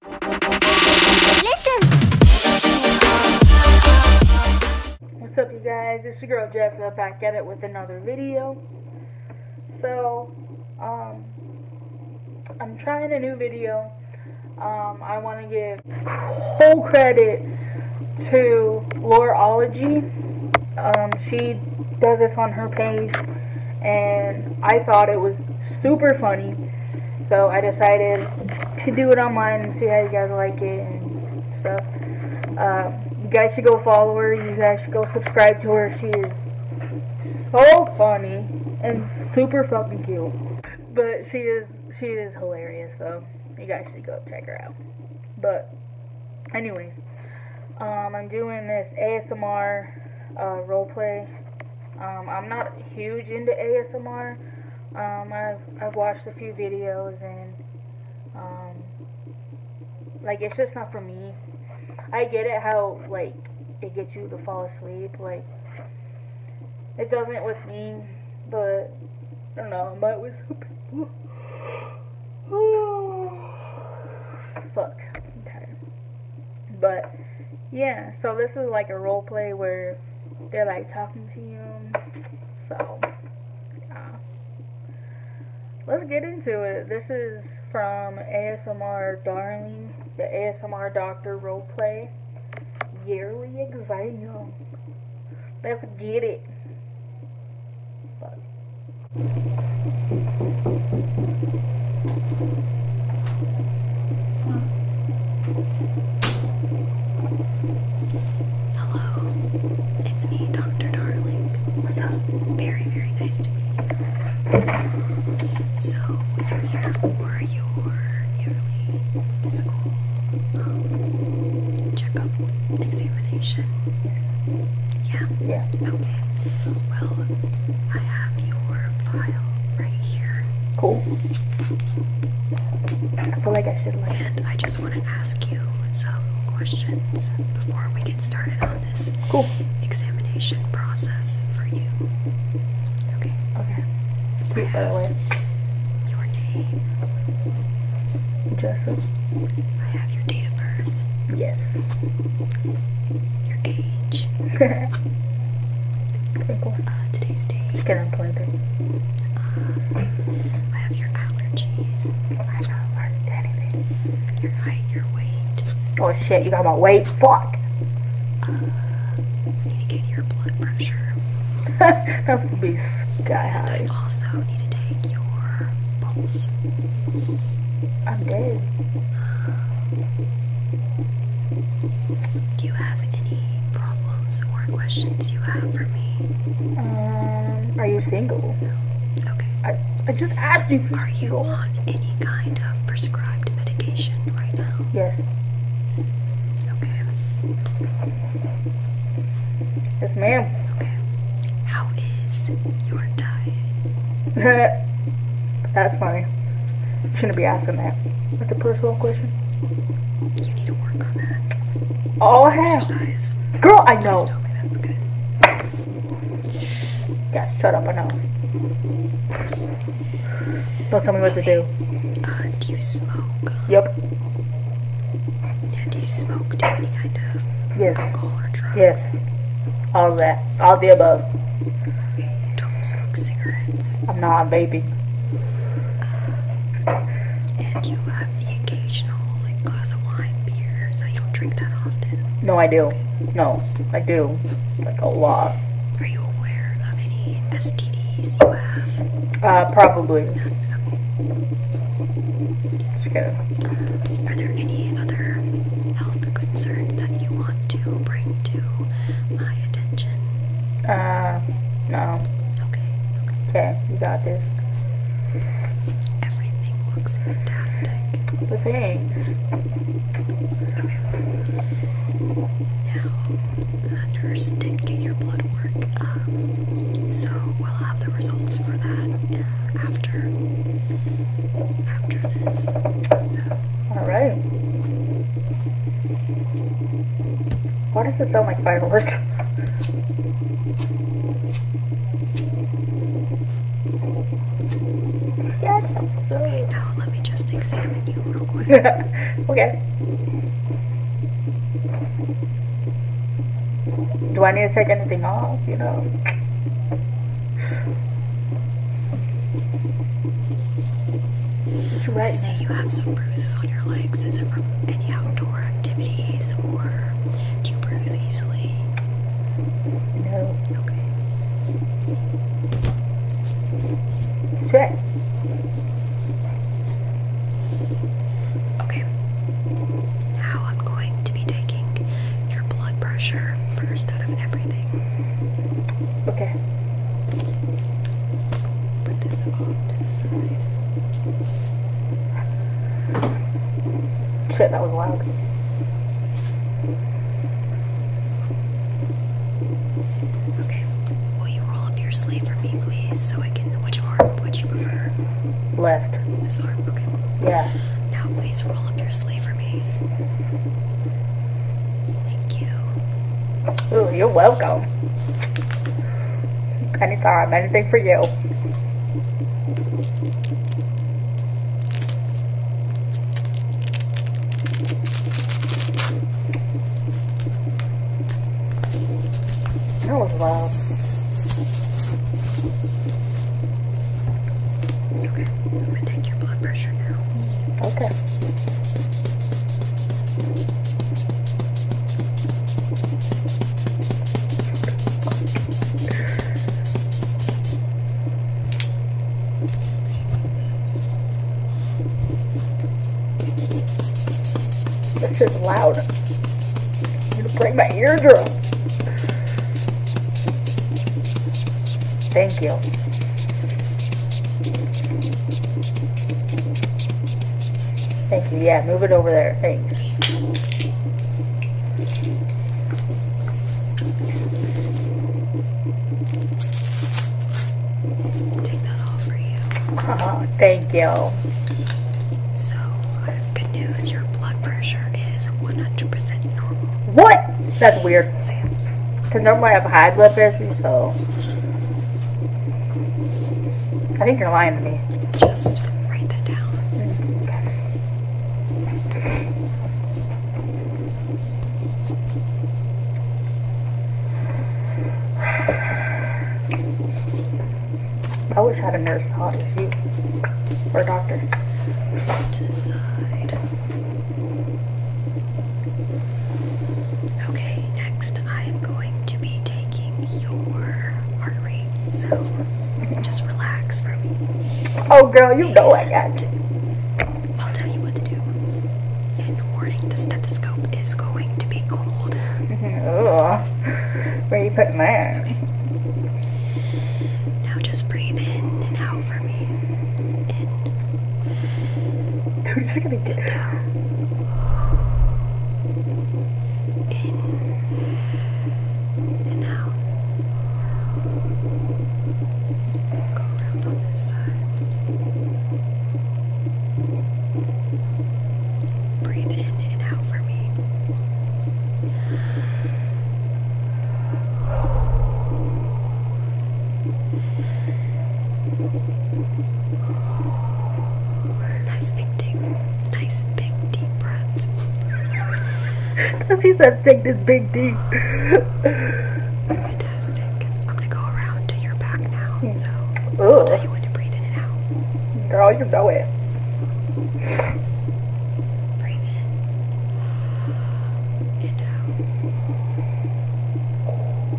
What's up, you guys? It's your girl Jessica back at it with another video. So, um, I'm trying a new video. Um, I want to give whole credit to Loreology. Um, she does this on her page, and I thought it was super funny. So I decided to do it online and see how you guys like it and stuff. Um, you guys should go follow her. You guys should go subscribe to her. She is so funny and super fucking cute. But she is she is hilarious So you guys should go check her out. But anyways, um, I'm doing this ASMR ASMR uh, role play. Um, I'm not huge into ASMR. Um, I've, I've watched a few videos and um, like it's just not for me. I get it how like it gets you to fall asleep. Like it doesn't with me, but I don't know. I might with some Fuck. i but yeah, so this is like a role play where they're like talking to you. So let's get into it. This is from ASMR Darling, the ASMR Doctor role play yearly exam. Let's get it. Hello, it's me, Dr. Darling. It's very, very nice to meet you. So, I'm here for your yearly physical um, checkup examination. Yeah? Yeah. Okay. Well, I have your file right here. Cool. I feel like I should like. And I just want to ask you some questions before we get started on this cool. examination process for you. Okay. Okay. by the way. Your name. Joseph. I have your date of birth. Yes. Your age page uh, today's date. Um, I have your allergies. I don't learn anything. Your height, your weight. Oh shit, you got my weight? Fuck! Uh, need to get your blood pressure. that would be sky high. also need to take your pulse. I'm good. Do you have any problems or questions you have for me? Um, are you single? Okay. I, I just asked you. Are you on any kind of prescribed medication right now? Yes. Okay. Yes, ma'am. Okay. How is your diet? That's funny shouldn't be asking that. That's a personal question. You need to work on that. Oh, Exercise. Girl, I know. Don't tell me that's good. Yeah, shut up, I know. Don't tell me what to do. Uh, do you smoke? Yep. Yeah, do you smoke? Do any kind of yes. Yes. All that. All the above up. Don't smoke cigarettes. I'm not, a baby. and you have the occasional glass of wine, beer, so you don't drink that often. No, I do. No, I do. Like a lot. Are you aware of any STDs you have? Uh, probably. No, okay. Are there any other health concerns that you want to bring to my attention? Uh, no. Okay. Okay, you got this. Everything looks fantastic. Thanks. Okay. Now, the nurse did get your blood work, so we'll have the results for that uh, after after this. All right. Why does it sound like fireworks? yes. Okay, oh, now let me just examine you real quick. okay. Do I need to take anything off, you know? You right. say you have some bruises on your legs. Is it from any outdoor activities or do you bruise easily? No. Okay. Check. Okay. Now I'm going to be taking your blood pressure first out of everything. Okay. Put this off to the side. Shit, that was loud. Okay. Will you roll up your sleeve for me, please, so I can. Which arm would you prefer? Left. This arm? Okay. Yeah. Now, please roll up your sleeve for me. Thank you. you're welcome. Anytime, anything for you. That was loud. Okay, I'm gonna take your blood pressure now. Okay. This is loud. I'm gonna break my eardrum. Thank you. Thank you. Yeah, move it over there. Thanks. Take that off for you. Oh, thank you. So, good news. Your blood pressure is 100% normal. What? That's weird. Because normally I have high blood pressure, so. I think you're lying to me. Just write that down. I wish I had a nurse hot as you. Or a doctor. Put Okay, next I am going to be taking your heart rate, so just relax for me. Oh, girl, you know I got to. I'll tell you what to do. And warning, the stethoscope is going to be cold. oh, where are you putting that? Okay. Now just breathe in and out for me in. Who's it gonna get? Down. In and out. Go around on this side. Breathe in and out for me. Nice big deep, nice big deep breaths. he said, "Take this big deep." Fantastic. I'm gonna go around to your back now, so I'll tell you when to breathe in and out. Girl, you know it. Breathe in and out.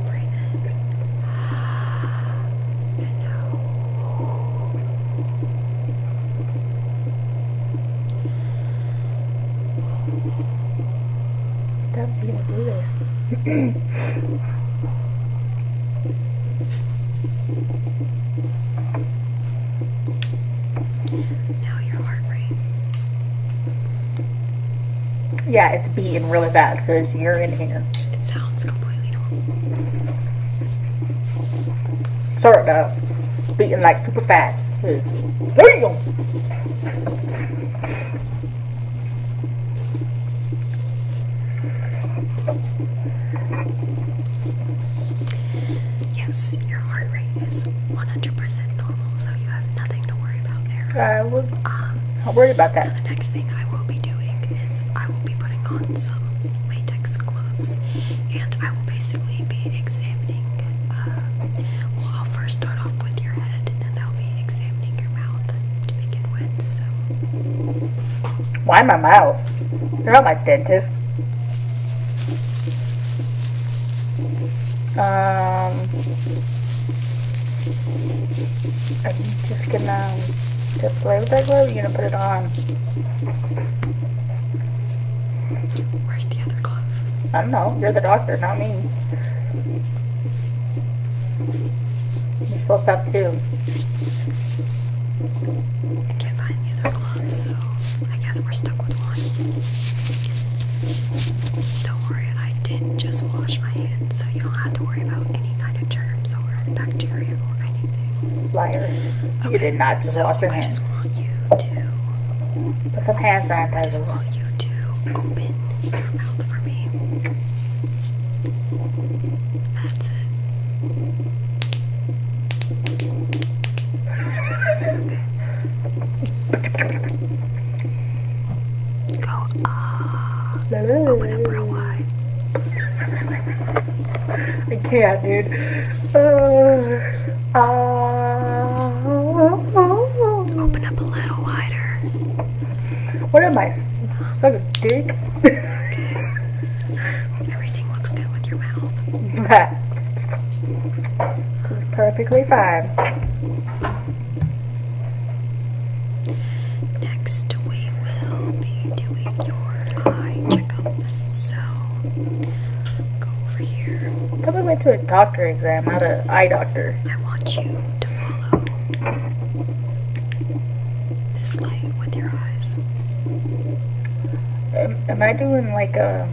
Breathe in. And out. That's going Now your heart rate. Yeah, it's beating really bad because you're in here. It sounds completely normal. Sorry about beating like super fast. There Yes, your heart rate is 100% normal, so you have nothing to worry about there. I would. Um, I'll worry about that. the next thing I will be doing is I will be putting on some latex gloves, and I will basically be examining. Uh, well, I'll first start off with your head, and then I'll be examining your mouth to begin with. Why my mouth? You're not my dentist. Um. I'm just gonna just play with that glove? Or are you gonna put it on? Where's the other glove? I don't know. You're the doctor, not me. You're supposed to have two. I can't find the other glove, so I guess we're stuck with one. Don't worry, I did not just wash my hands, so you don't have to worry about any kind of germs or bacteria or anything. Liar. Okay. You did not just wash your hands. I just want you to put some hand sanitizer. I just want you to open your mouth for me. That's it. Go No, I can't, dude. Uh, uh, Open up a little wider. What am I? Like a dick? okay. Everything looks good with your mouth. That. Perfectly fine. Next, we will be doing your eye checkup. So, go over here. I went to a doctor exam, not an eye doctor. I want you to follow this light with your eyes. am I doing like a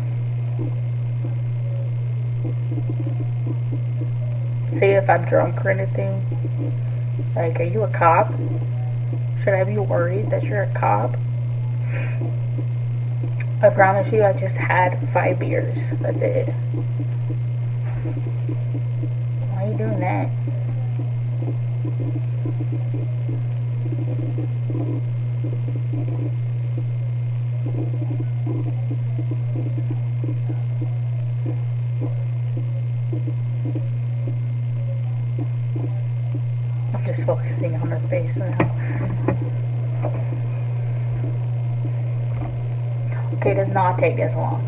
See if I'm drunk or anything. Like, are you a cop? Should I be worried that you're a cop? I promise you, I just had five beers. That's it. Why are you doing that? I'm just focusing on her face now. Okay, does not take this long.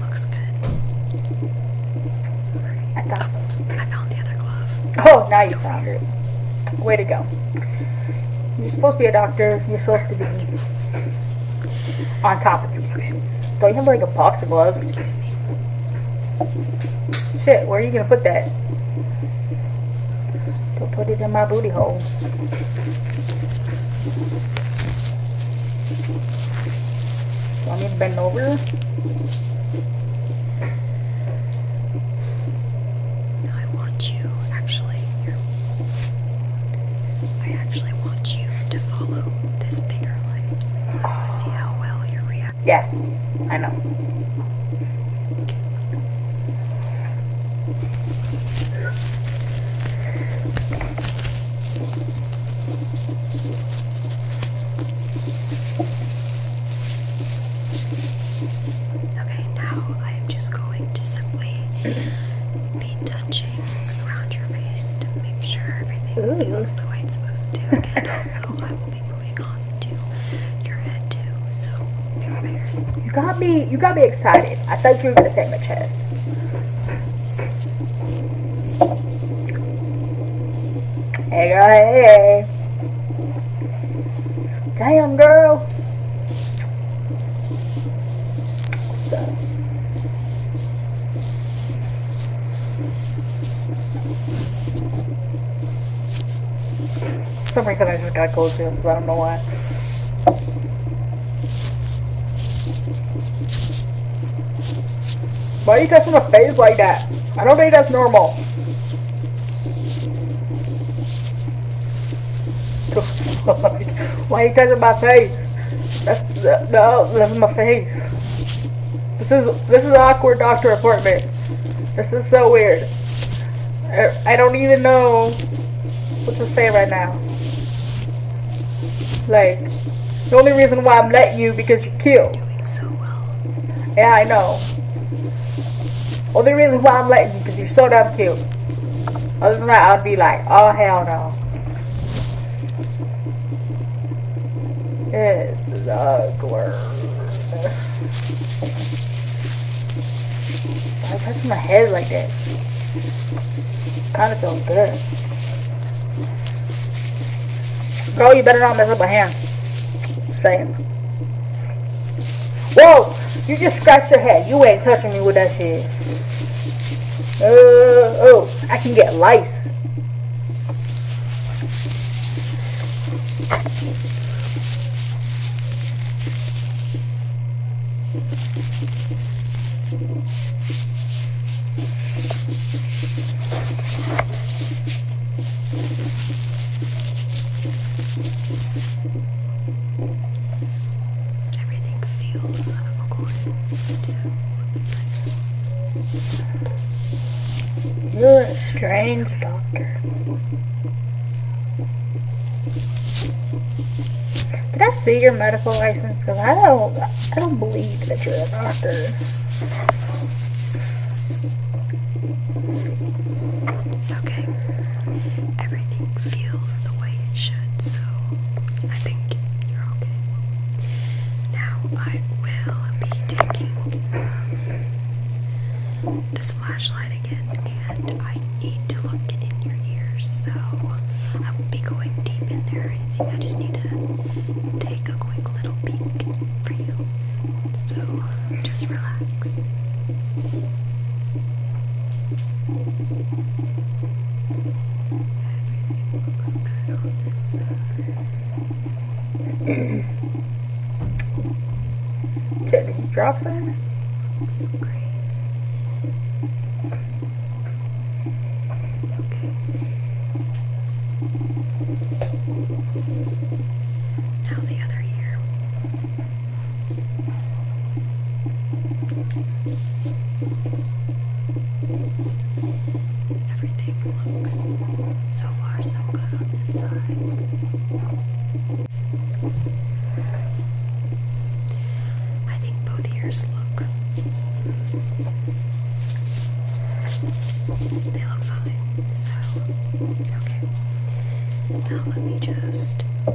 Looks good. I oh, found the other glove. Oh, now you found it. Way to go. You're supposed to be a doctor. You're supposed to be on top of things. Don't you have like a box of gloves? Excuse me. Shit, where are you gonna put that? do put it in my booty hole. Let me bend over? I want you, actually, I actually want you to follow this bigger light. I want to see how well you react. Yeah, I know. Okay, now I am just going to simply be touching around your face to make sure everything feels the way it's supposed to. So I will be moving on to your head too. So You got me. You got me excited. I thought you were gonna take my chest. Hey, hey, hey. Damn, girl. some reason I just got cold chills. I don't know why. Why are you testing a phase like that? I don't think that's normal. Why are you touching my face? That's uh, no, that's my face. This is this is an awkward doctor appointment. This is so weird. I, I don't even know what to say right now. Like the only reason why I'm letting you because pretty cute. Yeah, I know. Only reason why I'm liking you because you're so damn cute. Other than that, I'd be like, oh hell no. It's ugly. I'm touching my head like that. Kinda feels good. Bro, you better not mess up my hand. Same. Whoa! You just scratched your head. You ain't touching me with that shit. Uh, oh, I can get lice. Everything feels according to You're a strange doctor. Did I see your medical license? Because I don't, I don't believe that you're a doctor. Okay, everything feels the way it should, so I think you're okay. Now I will be taking um, this flashlight again, and I need to look in your ears, so I will be going deep in there I just need to take a quick little peek for you. So just relax. looks good on this side. Can you drop it? Looks great. Now the other ear. Everything looks so far so good on this side. I think both ears look they look fine, so okay. Now let me just uh,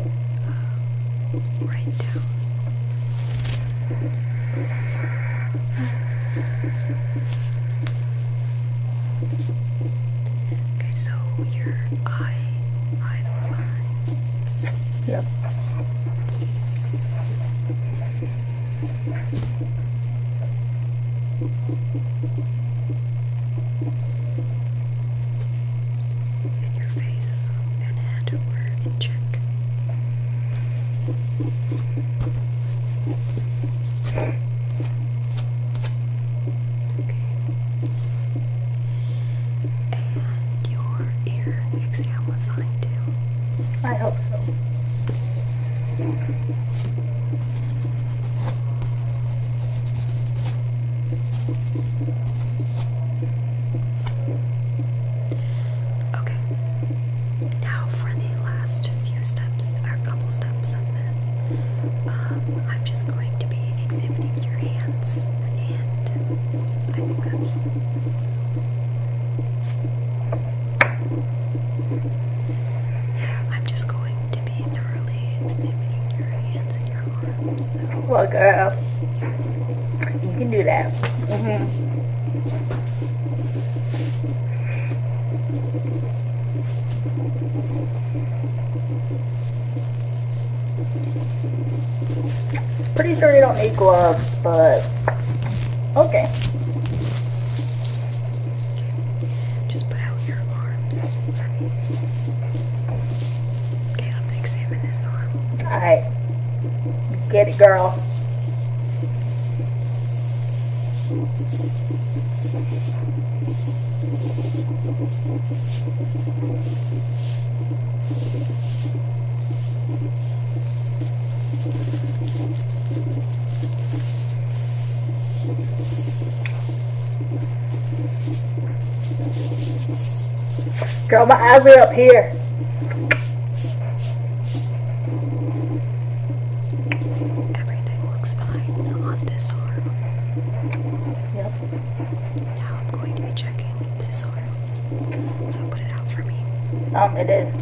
write down. Okay, so your eye eyes were fine. Yeah. And your face and head were in check. Okay. And your ear exam was fine too. I hope so. Okay. Now for the last few steps, or couple steps of this, um, I'm just going to be examining your hands, and I think that's. I'm just going to be thoroughly examining your hands and your arms. Well, girl, you can do that. -hmm. Pretty sure you don't need gloves, but okay. Just put out your arms for me. examine this arm. Alright. Get it, girl. Girl, my eyes are up here. Everything looks fine on this arm. Yep. Now I'm going to be checking this arm. So put it out um, it is.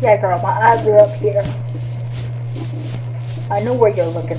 Yeah, girl, my eyes are up here. I know where you're looking.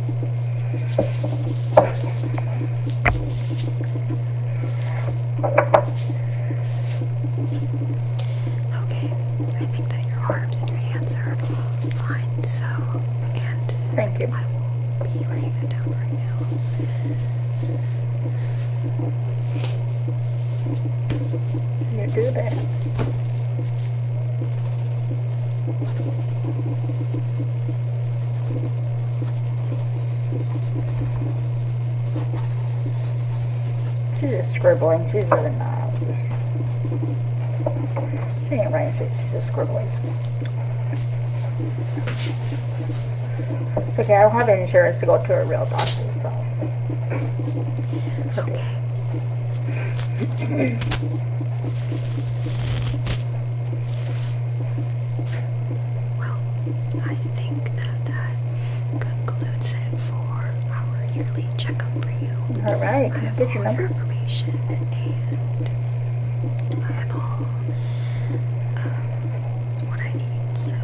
Okay, I think that your arms and your hands are fine, so, and Thank you. I will be writing that down right now. You do that. She's just scribbling. She's really not. She ain't writing shit. She's just scribbling. okay, I don't have insurance to go to a real doctor, so. Okay. Well, I think that that concludes it for our yearly checkup for you. All right. I have all your information and I have all um, what I need. So,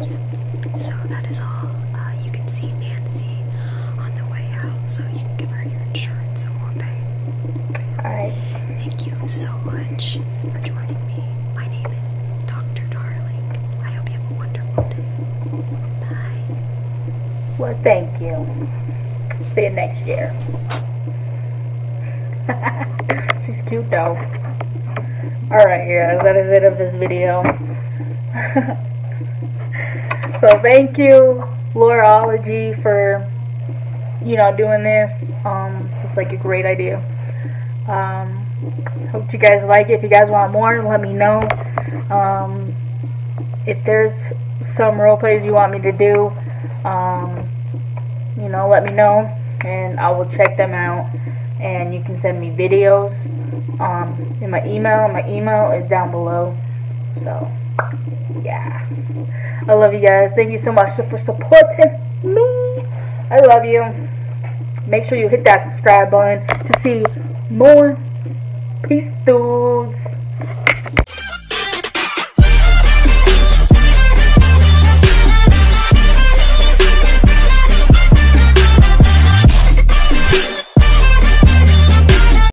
yeah. So that is all. Uh, you can see Nancy on the way out so you can give her your insurance and we'll Alright. Thank you so much for joining me. My name is Dr. Darling. I hope you have a wonderful day. Bye. Well, thank you. See you next year. She's cute though. Alright, guys, that is it of this video. so, thank thank you, Loreology, for you know doing this. Um, it's like a great idea. Um, hope you guys like it. If you guys want more, let me know. Um, if there's some role plays you want me to do, you know, let me know, and I will check them out. And you can send me videos in my email. My email is down below. So, yeah. I love you guys. Thank you so much for supporting me. I love you. Make sure you hit that subscribe button to see more. Peace, dudes.